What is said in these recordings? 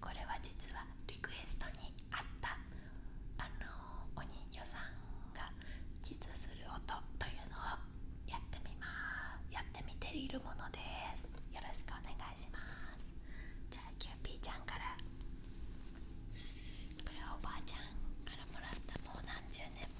これは実はリクエストにあったあのお人形さんが実する音というのをやってみますやってみているものですよろしくお願いしますじゃあキューピーちゃんからこれはおばあちゃんからもらったもう何十年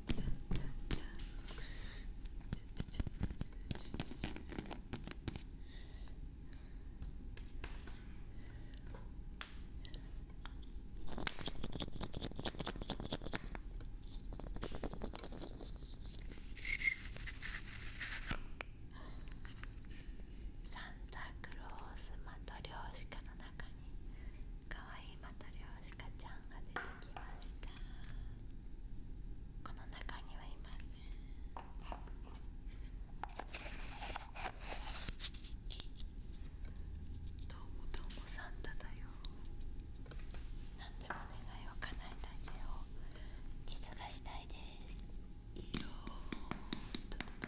サンタクロースマトリョーシカの中にかわいいまた漁師カちゃんが出てきましたこの中にはいませんどうもどうもサンタだよ何でも願いを叶えないでよ傷がしたいですいいよよ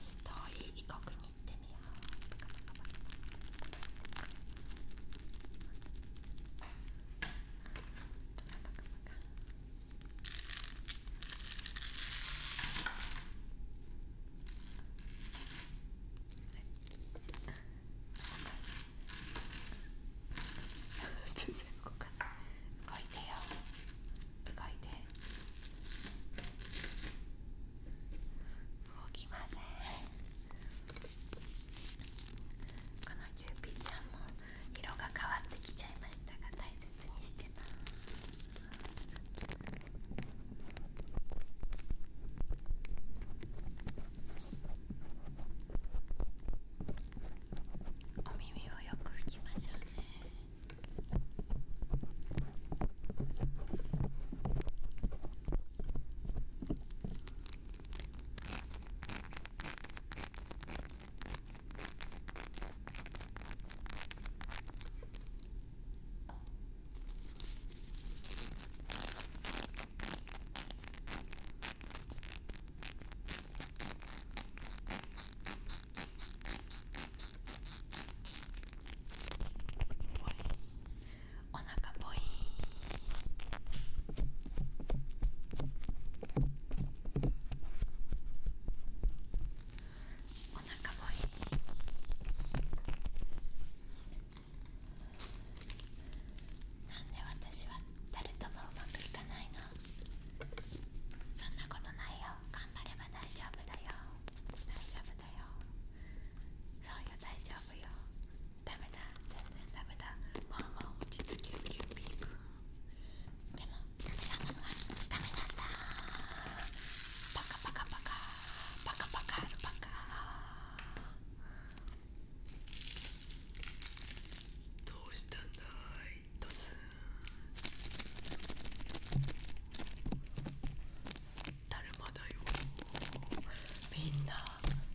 し遠い異国に行ってみよう。全然動かない動いてよ動いて動きませんこのキューピーちゃんも色が変わってきちゃいましたが大切にしてますお耳をよく拭きましょうねお腹ぽいーお腹もいいなんで私は誰ともうまくいかないのそんなことないよ頑張れば大丈夫だよ大丈夫だよそうよ大丈夫よダメだ全然ダメだもうもう落ち着きゅうきゅうピーくんでもダメなんだパカパカパカパカパカアルパカどうしたんだいとつだるまだよみんな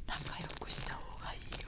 仲良くした方がいいよ